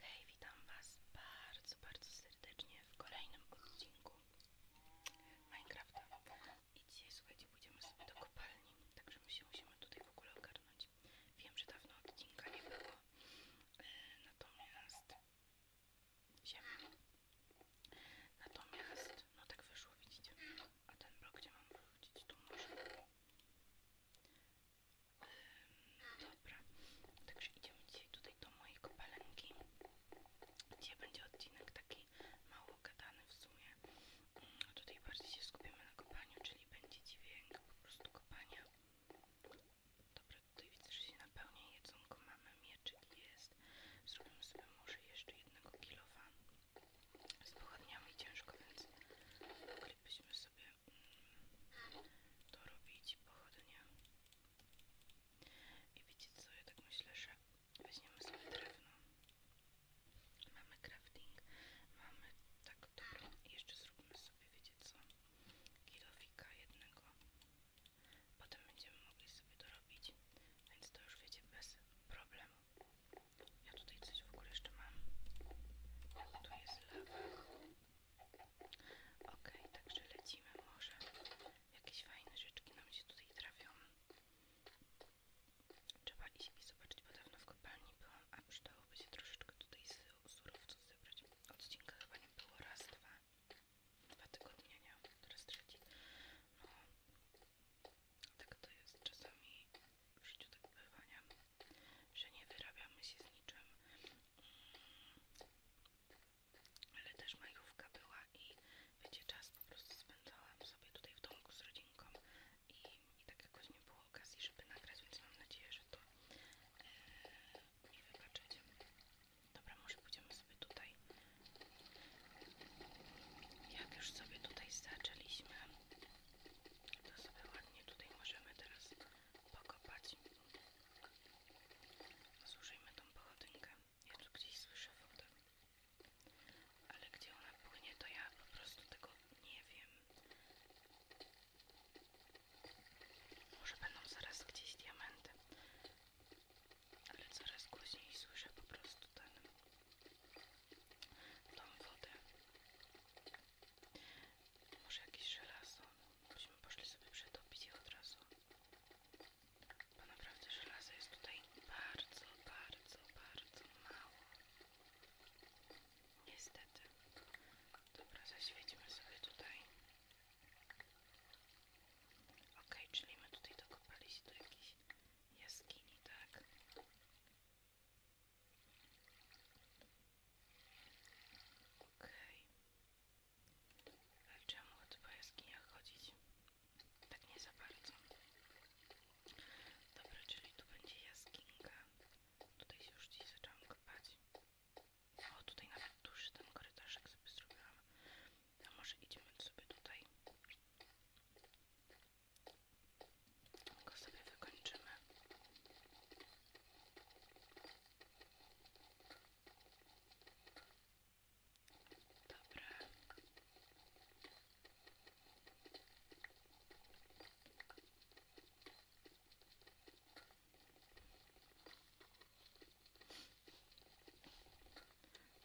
Hej, witam Was bardzo, bardzo serdecznie w kolejnym odcinku Minecrafta i dzisiaj, słuchajcie, pójdziemy sobie do kopalni także my się musimy tutaj w ogóle ogarnąć wiem, że dawno odcinka nie było e, natomiast ziemi natomiast, no tak wyszło, widzicie a ten blok, gdzie mam wrócić, tu może? Dobra, także idziemy dzisiaj tutaj do mojej kopalenki Dzisiaj będzie odcinek taki mało gadany w sumie. Mm, tutaj bardziej się skupimy na kopaniu, czyli będzie dźwięk po prostu kopania. Dobra, tutaj widzę, że się napełnia jedzonko. Mamy mieczyk jest. Zrobimy sobie może jeszcze jednego kilowa. Z pochodniami ciężko, więc ukrypiśmy sobie robić pochodnie. I wiecie co, ja tak myślę, że weźmiemy sobie drewno. Mamy crafting, mamy tak dobrą. jeszcze zrobimy sobie, wiecie co, kilowika jednego. Potem będziemy mogli sobie to robić więc to już wiecie, bez problemu. Ja tutaj coś w ogóle jeszcze mam. Tu jest lawa. Ok, także lecimy może. Jakieś fajne rzeczki nam się tutaj trafią. Trzeba iść i zobaczyć, bo dawno w kopalni byłam, a przydałoby się troszeczkę tutaj z surowców zebrać. Odcinka chyba nie było raz, dwa, dwa tygodnie, nie? Teraz trzeci. No, tak to jest czasami w życiu tak bywania, że nie wyrabiamy się z niczym. Mm. Ale też majówka była i wiecie, czas po prostu spędzałam sobie tutaj w domku z rodzinką i, i tak jakoś nie było okazji, żeby nagrać, więc mam nadzieję, że to yy, nie wybaczycie. Dobra, może pójdziemy sobie tutaj. Jak już sobie tutaj zaczęliśmy, to sobie ładnie tutaj możemy teraz pokopać. Zużyjmy tą pochodynkę. Ja tu gdzieś słyszę wodę. Ale gdzie ona płynie, to ja po prostu tego nie wiem. Może będą zaraz gdzieś diamenty. Ale coraz głośniej słyszę po prostu ten tą wodę. Może jakieś żelazo. Byśmy poszli sobie przetopić je od razu. Bo naprawdę żelaza jest tutaj bardzo, bardzo, bardzo mało. Niestety. Dobra, zaświećmy sobie tutaj. Okej, czyli my tutaj dokopaliśmy do jakiejś jaskini, tak? OK. Okay. A czemu tu po chodzić? Tak nie za bardzo. Dobra, czyli tu będzie jaskinia. Tutaj się już dziś zaczęłam kupać. O, tutaj nawet dłuższy ten korytarzek sobie zrobiłam. A może idziemy sobie tutaj go sobie wykończymy. Dobra.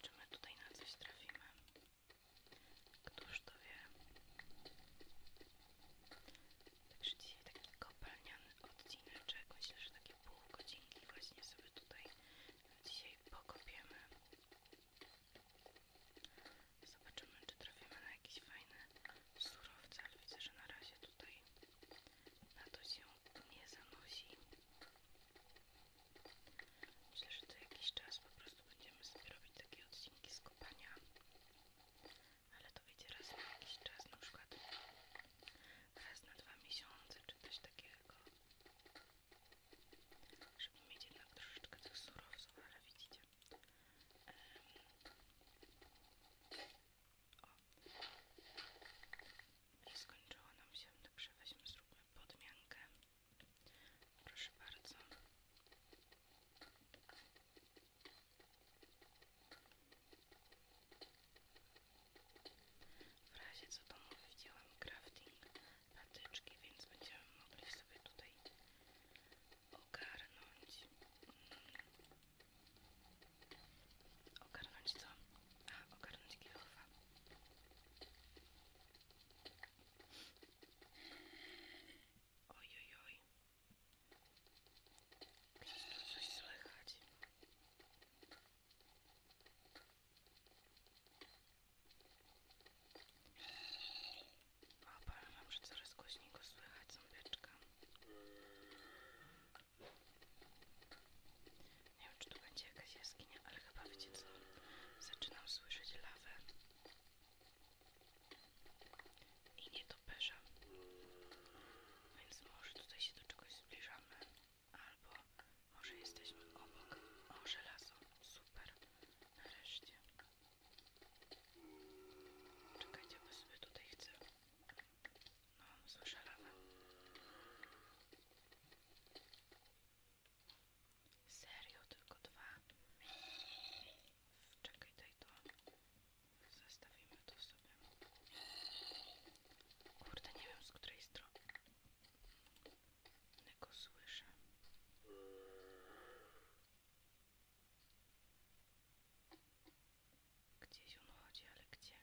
Czy tutaj na coś trafimy? Któż to wie? Także dzisiaj taki kopalniany odcineczek, myślę, że takie pół godzinki właśnie sobie tutaj dzisiaj pokopiemy. Zobaczymy, czy trafimy na jakieś fajne surowce, ale widzę, że na razie tutaj na to się nie zanosi. Myślę, że to jakiś czas po prostu będziemy sobie robić takie odcinki z kopania ale to wiecie raz na jakiś czas, na przykład raz na dwa miesiące czy coś takiego żeby mieć jednak troszeczkę tych surowców, ale widzicie o i skończyło nam się, także weźmy zróbmy podmiankę proszę bardzo w razie co to widziałam crafting patyczki, więc będziemy mogli sobie tutaj ogarnąć ogarnąć co? A, ogarnąć kilofa oj oj oj Gdzieś tu coś słychać. Obawiam mam, że coraz głośniej go słychać ząbeczka. Nie wiem, czy tu będzie jakaś jaskinia, ale chyba wiecie co? Zaczynam słyszeć lawę i nie to nietoperza. Więc może tutaj się do czegoś zbliżamy, albo może jesteśmy obok. O, żelazo. Super. Nareszcie. Czekajcie, bo sobie tutaj chcę. No, słyszę Serio, tylko dwa. Czekaj, daj to. Zostawimy to sobie. Kurde, nie wiem z której strony go słyszę. Gdzieś on chodzi, ale gdzie?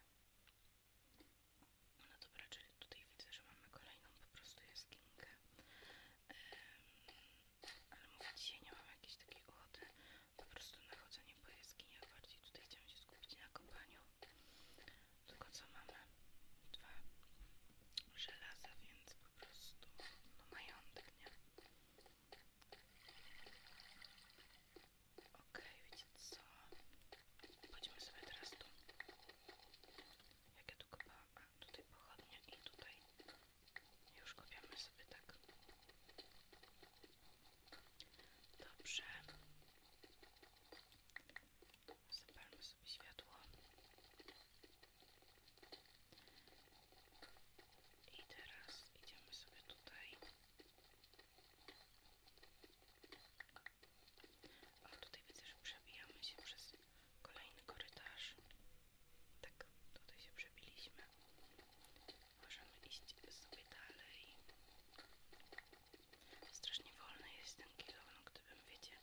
No dobra, czyli tutaj widzę, że mamy kolejną po prostu jaskinkę ale mówię, dzisiaj nie mam jakiejś takiej ochoty po prostu na chodzenie po jaskiniach bardziej tutaj chciałam się skupić na kopaniu tylko co mamy? dwa żelaza, więc po prostu no majątek, nie? Okej, okay, wiecie co? Chodźmy sobie teraz tu. Jak ja tu kopałam? A, tutaj pochodnie i tutaj już kopiamy sobie tak. Dobrze. Zapalmy sobie światło. I teraz idziemy sobie tutaj. O, tutaj widzę, że przebijamy się przez kolejny korytarz. Tak, tutaj się przebiliśmy. Możemy iść sobie dalej. Strasznie wolny jest ten kilo, no gdybym, wiecie,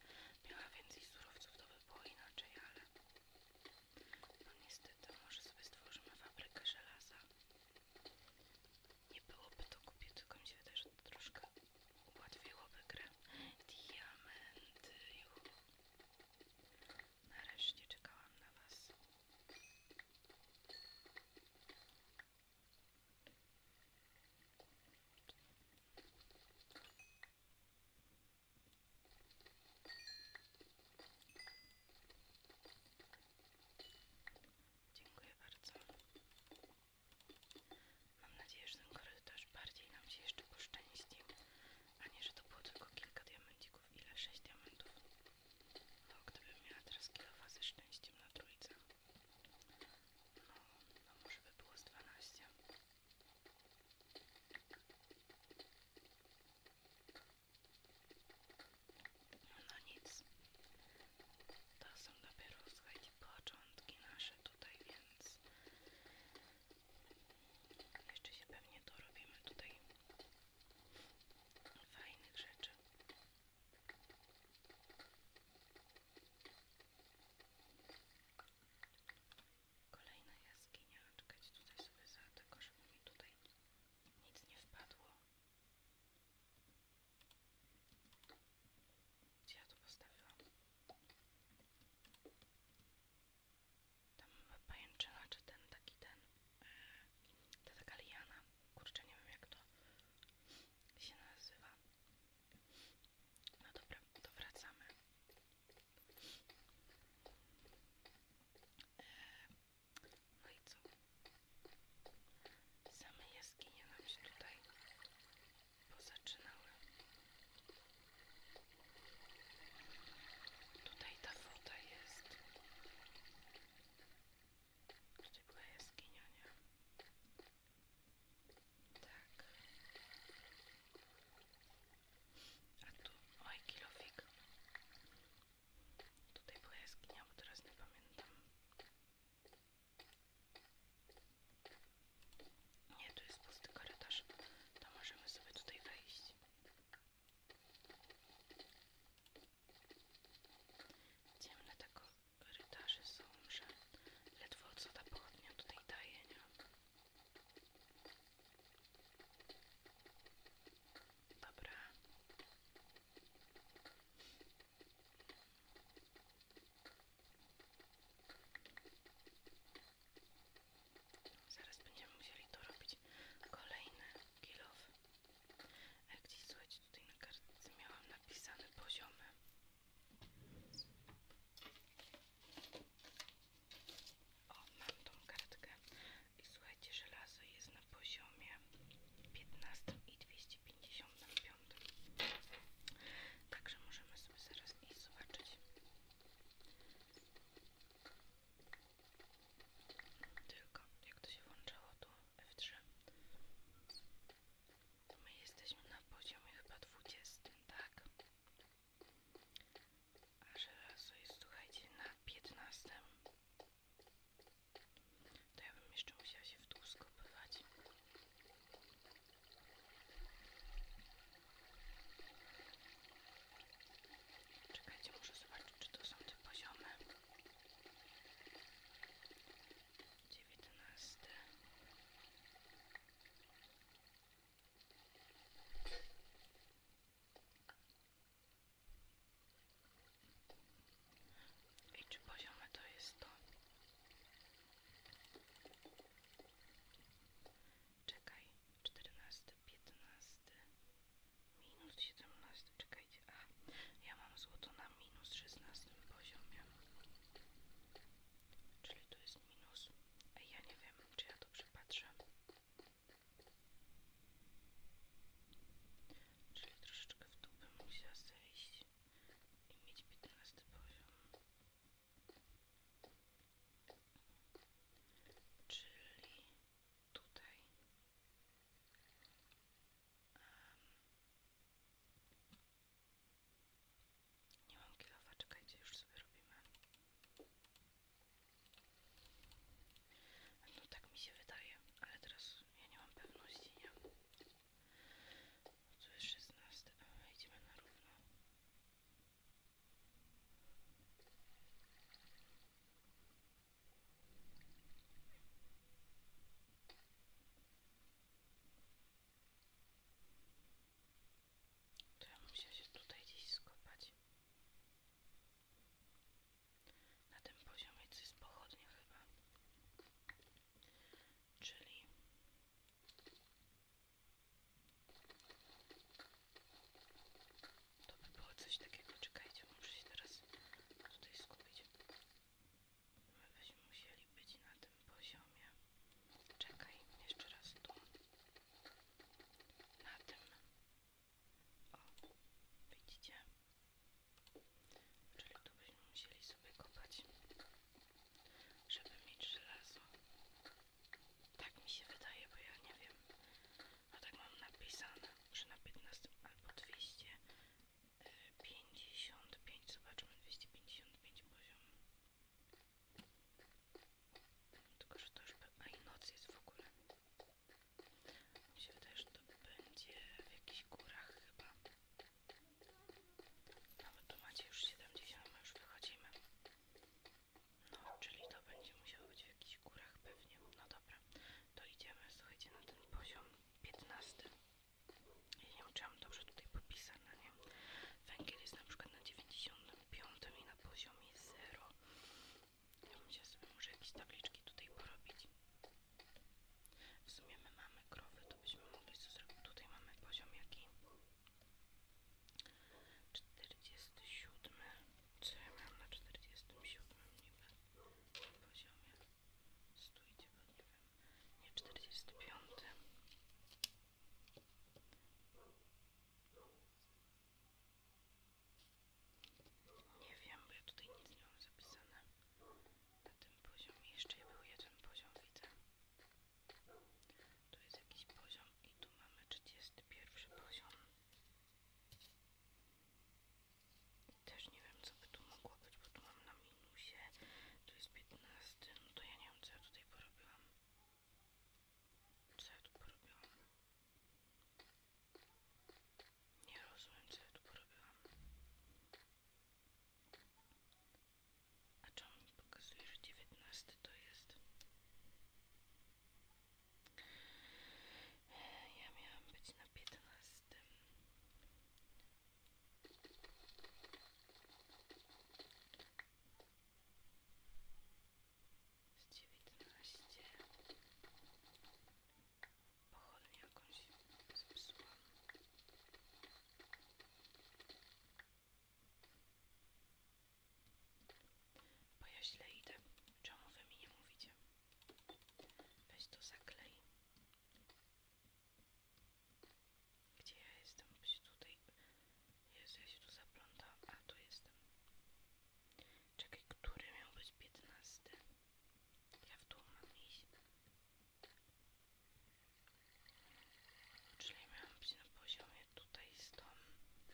miała więcej surowców, to by było inaczej, ale no niestety, może sobie stworzymy fabrykę żelaza. Nie byłoby to kupić, tylko mi się wydaje, że to troszkę ułatwiłoby grę. Diamenty, Nareszcie czekałam na Was. Dziękuję bardzo. Mam nadzieję, że ten korytarz bardziej nam się jeszcze poszczęści a nie, że to było tylko kilka diamencików, ile? sześć diamentów no gdybym miała teraz kilofa ze szczęściem na trójce no, no może by było z 12 no nic to są dopiero, słuchajcie, początki nasze tutaj, więc jeszcze się pewnie dorobimy tutaj fajnych rzeczy. Kolejna jaskinia. czekać tutaj sobie za tego, żeby mi tutaj nic nie wpadło. Gdzie ja to postawiłam? Tam pajęczyna, czy ten taki ten. E, to taka liana. Kurczę, nie wiem jak to się nazywa. No dobra, to wracamy. E, no co? Same jaskinie nam się tutaj pozaczynały. Tutaj ta woda jest. Tutaj była jaskinia, nie? Tak. A tu, oj, kilofik. Tutaj była jaskinia, bo teraz nie pamiętam. Nie, tu jest pusty korytarz. To możemy sobie tutaj wejść. Ciemne te korytarze są, że ledwo co ta pochodnia tutaj daje, nie? Dobra. Zaraz będziemy musieli tu robić kolejny kilof. Jak e, gdzieś słuchajcie, tutaj na kartce miałam napisane poziomy. O, mam tą kartkę. I słuchajcie, żelazo jest na poziomie 15 i 255. Także możemy sobie zaraz iść zobaczyć tylko jak to się włączało tu F3 to my jesteśmy na poziomie chyba 20, tak? A żelazo jest, słuchajcie, na 15. To ja bym jeszcze musiała się w dół skopywać. Czekajcie, muszę zobaczyć, czy to są te poziomy. 19. I czy poziome to jest to? Czekaj, 14, 15, minus 17, czekajcie, a ja mam złoto na minus 16 poziomie. Czyli tu jest minus. Ej, ja nie wiem, czy ja dobrze patrzę. Czyli troszeczkę w dół bym musiała zejść i mieć 15 poziom czyli tutaj nie mam kilofa, czekajcie, już sobie robimy no tak mi się wydaje, ale teraz ja nie mam pewności, nie? Tu jest 16, idziemy na równo to ja muszę się tutaj gdzieś skopać. Na tym poziomie coś jest pochodnie chyba. Czyli to by było coś takiego. Czekajcie, muszę się teraz tutaj skupić. My byśmy musieli być na tym poziomie. Czekaj, jeszcze raz tu. Na tym. O, widzicie? Czyli tu byśmy musieli sobie kupić, żeby mieć żelazo. Tak mi się wydaje, bo ja nie wiem. A no tak mam napisane, że na 15 albo 255, y, zobaczmy, 255 poziom. Tylko, że to już... A i noc jest w ogóle. Mi się wydaje, że to będzie w jakichś górach chyba. Nawet tu macie już 70, my już wychodzimy. No, czyli to będzie musiało być w jakichś górach pewnie. No dobra, to idziemy, słuchajcie, na ten poziom 15. i nie wiem, czy mam dobrze tutaj popisane, nie? Węgiel jest na przykład na 95 i na poziomie 0. Ja bym sobie może jakieś tabliczki tutaj porobić. W sumie my mamy krowy, to byśmy mogli co zrobić. Tutaj mamy poziom jaki? Czterdziesty siódmy. Co ja miałam na czterdziestym siódmym niby poziomie? Stójcie, bo nie wiem. Nie, czterdziesty piąty. Nie wiem, bo ja tutaj nic nie mam zapisane na tym poziomie. Jeszcze był jeden poziom, widzę. Tu jest jakiś poziom i tu mamy 31 poziom. Też nie wiem co by tu mogło być, bo tu mam na minusie. Tu jest 15, no to ja nie wiem co ja tutaj porobiłam. Co ja tu porobiłam? Nie rozumiem co ja tu porobiłam. A czemu mi pokazuje, że 19 to jest? Ja miałam być na piętnastym, Z 19. Pochodnię jakąś zepsułam. Bo ja źle idę. Czemu wy mi nie mówicie? Weź to zaklej. Gdzie ja jestem? Bo się tutaj... Jezu, ja się tu zaplątałam. A, tu jestem. Czekaj, który miał być 15? Ja w dół mam iść. Czyli miałam być na poziomie tutaj z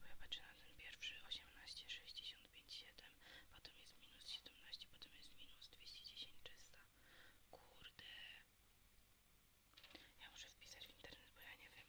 Bo ja patrzę na ten pierwszy 18, 65, 7, potem jest minus 17, potem jest minus 210, 300. Kurde. Ja muszę wpisać w internet, bo ja nie wiem.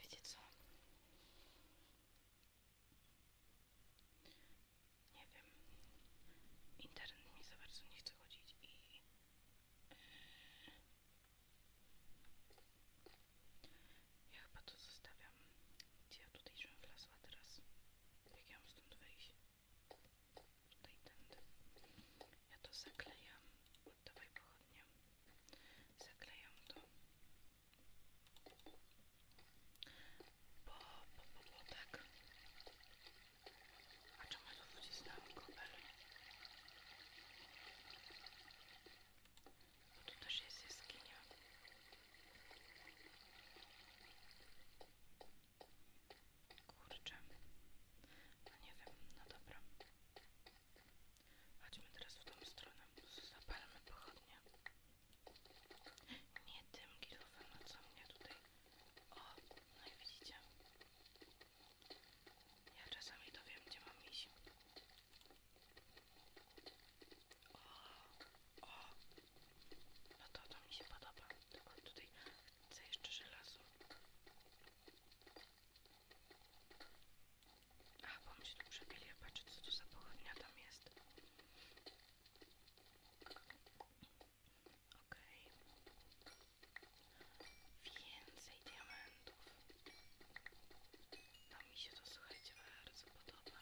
Wiecie co? Nie wiem. Internet mi za bardzo nie chce chodzić ja chyba to zostawiam. Gdzie ja tutaj w wlazła teraz? Jak ja stąd wyjść? i tędy. Ja to zaklejam. Oddawaj pochodnie. Zaklejam to. Bo, po, po, bo tak. A czemu tu wcisnąłem kobel? Bo tu też jest jaskinia. Kurczę. No nie wiem, no dobra. Chodźmy teraz w tą stronę. Zapalmy pochodnie. Nie tym kilofem, no co mnie tutaj... O, no i widzicie. Ja czasami to wiem, gdzie mam iść. O, o, no to to mi się podoba, tylko tutaj chcę jeszcze żelazo. A, bo mi się tu przebili, ja co tu za pochodnia tam jest. Okej. Więcej diamentów. No mi się to słuchajcie bardzo podoba.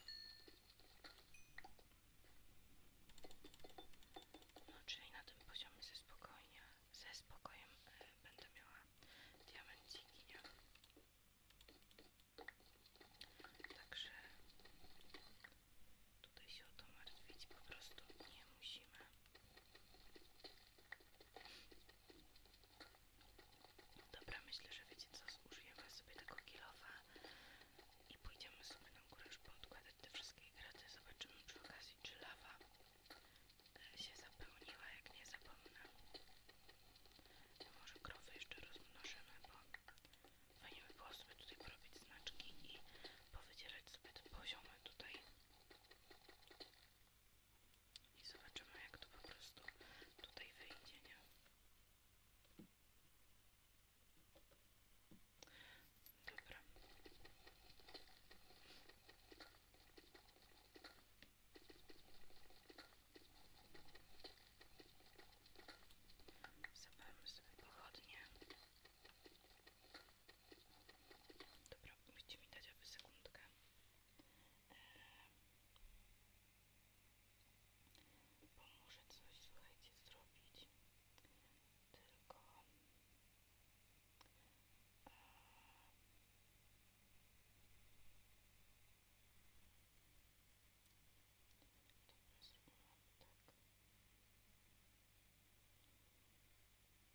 No czyli na tym poziomie ze spokojnie, ze spokojem e, będę miała diamenciki, nie? Także tutaj się o to martwić po prostu nie musimy. Dobra, myślę, że wiecie co, zużyjemy sobie tego kilofa i pójdziemy sobie na górę już podkładać te wszystkie graty. Zobaczymy przy okazji, czy lawa e, się zapełniła, jak nie zapomnę. Może krowy jeszcze rozmnożymy, bo fajnie by było sobie tutaj porobić znaczki i powydzierać sobie te poziomy tutaj i zobaczymy jak to po prostu tutaj wyjdzie, nie? Dobra. Zabramy sobie Dobra, musicie mi dać aby sekundkę. Eee, coś, zrobić. Tylko... Eee,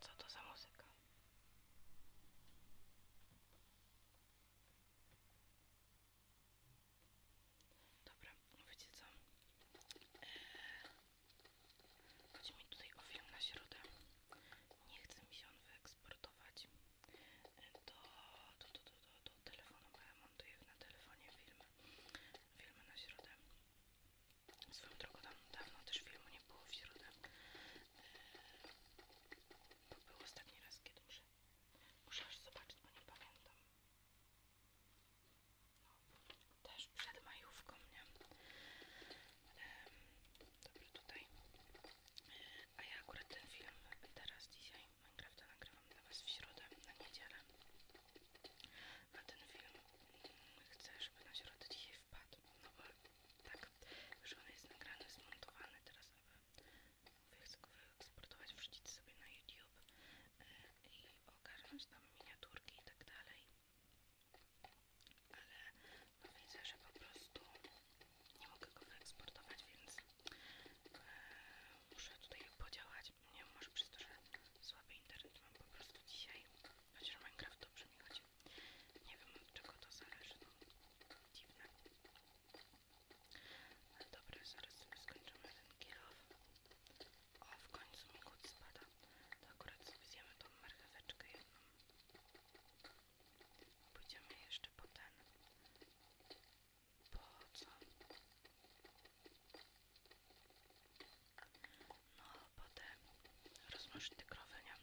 co to za muzyka? Dobra, wiecie co? Eee, tutaj o na środę. Nie chce mi się wyeksportować do, do, do, do, do, telefonu, bo ja montuję na telefonie filmy, filmy na środę. Swoją drogą tam dawno też filmu nie było w środę. E, to był ostatni raz, kiedy muszę, muszę aż zobaczyć, bo nie pamiętam. No, też przed majówką, nie? Dobra, tutaj e, a ja akurat ten film teraz dzisiaj Minecrafta nagrywam dla Was w środę, na niedzielę. A ten film mm, chcę, żeby na środę dzisiaj wpadł. No bo tak, już on jest nagrany, zmontowany teraz, ale chcę go wyeksportować, wrzucić sobie na YouTube e, i ogarnąć tam miniaturki i tak dalej ale widzę, że po prostu nie mogę go wyeksportować, więc e, muszę tutaj podziałać. Nie wiem, może przez to, że słaby internet mam po prostu dzisiaj, chociaż Minecraft dobrze mi chodzi. Nie wiem od czego to zależy, no dziwne. Ale dobra, zaraz sobie skończymy ten kilof. O, w końcu mi kut spada. To akurat sobie zjemy tą marcheweczkę jedną. Pójdziemy jeszcze po ten. Po co? No, po te rozmnożyte krowenia.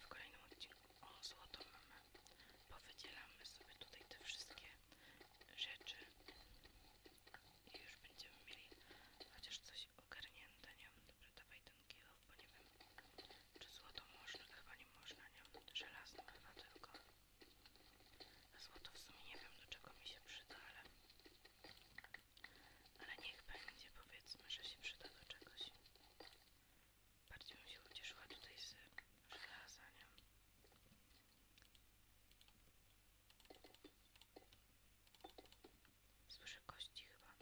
W kolejnym odcinku o złoto mamy. Powydzielamy sobie tutaj te wszystkie rzeczy i już będziemy mieli chociaż coś ogarnięte, nie wiem, dobra, dawaj ten nie wiem, czy złoto można, chyba nie można, nie? Żelazno chyba tylko. A złoto w sumie nie wiem, do czego mi się przyda, ale, ale niech będzie, powiedzmy, że się przyda do czegoś. Bardziej bym się ucieszyła tutaj z żelaza, Słyszę kości chyba.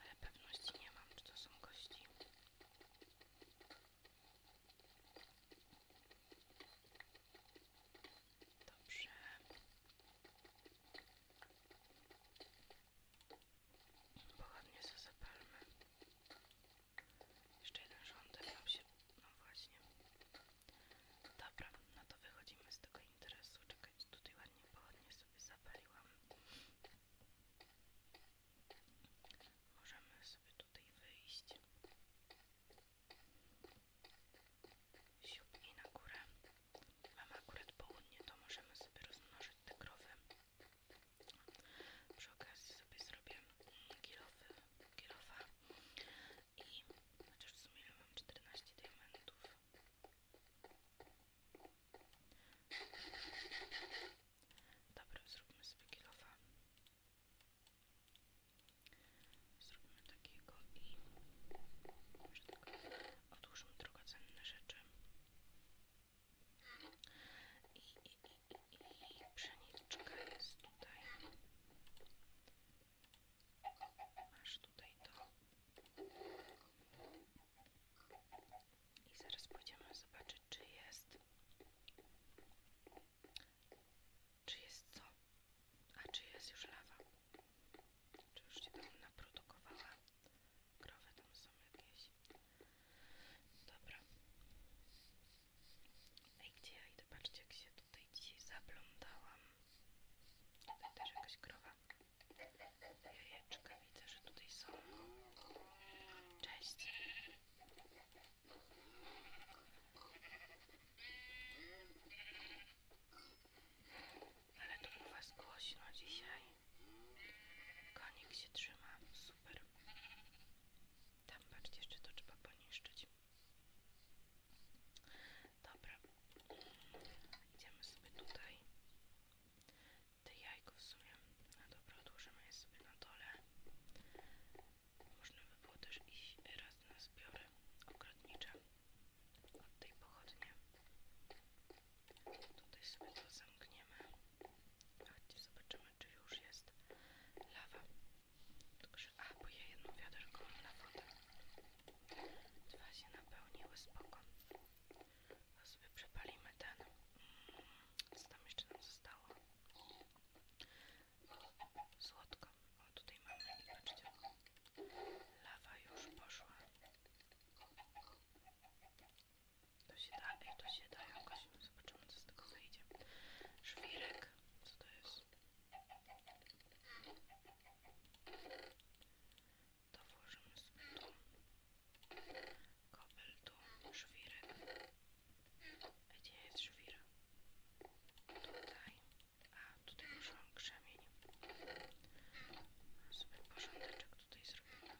Ale pewności nie mam, czy to są kości. Dobrze. Pochodnie sobie zapalmy. Jeszcze jeden rządek nam się... No właśnie. Dobra, no to wychodzimy z tego interesu. Czekać tutaj ładnie pochodnie zapaliłam. Możemy sobie tutaj wyjść. Siup i na górę. Mamy akurat południe, to możemy sobie rozmnożyć te krowy. Przy okazji sobie zrobię kilowy, kilowa i chociaż w sumie mam 14 diamentów. Dobra, zróbmy sobie kilofa. Zróbmy takiego i może tak drogocenne rzeczy. I, i, jest tutaj. aż tutaj to. I zaraz pójdziemy zobaczyć, czy jest. Czy jest co? A czy jest już lawa? Czy już się tam naprodukowała? Krowy tam są jakieś. Dobra. Ej, gdzie ja idę? Patrzcie, jak się tutaj dzisiaj zaplątałam. Tutaj też jakaś krowa. Jajeczka widzę, że tutaj są. Cześć. Ale to Was głośno dzisiaj. Konik się trzyma. Super. Tam patrzcie, jeszcze to trzeba poniszczyć. Dobra. Idziemy sobie tutaj te jajko w sumie, no dobra, odłożymy je sobie na dole można by było też iść raz na zbiory ogrodnicze od tej pochodnie tutaj sobie to zamkniemy chodźcie zobaczymy czy już jest lawa tylko że, a bo ja jedną wiaderko mam na wodę dwa się napełniły, spoko a sobie przepalimy ten. Mm, co tam jeszcze nam zostało? słodko. tutaj mamy, patrzcie. Lawa już poszła. To się da, to się da jakoś. Zobaczymy, co z tego wyjdzie. Żwirek. Co to jest? to włożymy sobie tu kobel tu, żwirek gdzie jest żwir? tutaj a, tutaj użyłam krzemień sobie jak tutaj zrobimy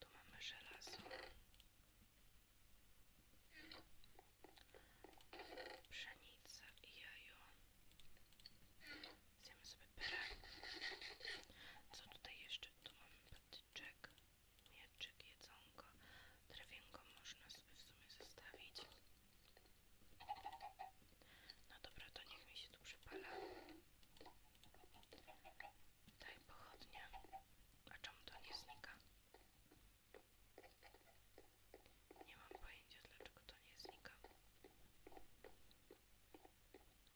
tu mamy żelazo pszenica i jajo Zjemy sobie pyrę. Co tutaj jeszcze? Tu mamy patyczek, mieczyk, jedzonko. Drewienko można sobie w sumie zostawić. No dobra, to niech mi się tu przypala. Daj pochodnie. A czemu to nie znika? Nie mam pojęcia dlaczego to nie znika.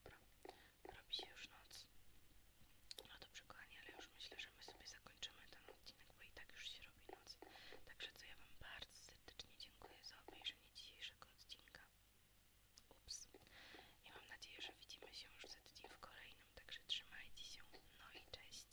Dobra, robi się już noc. No dobrze kochani, ale już myślę, że my sobie zakończymy ten odcinek, bo i tak już się robi noc. Także co ja wam bardzo serdecznie dziękuję za obejrzenie dzisiejszego odcinka. Ups. I mam nadzieję, że widzimy się już za tydzień w kolejnym, także trzymajcie się. No i cześć.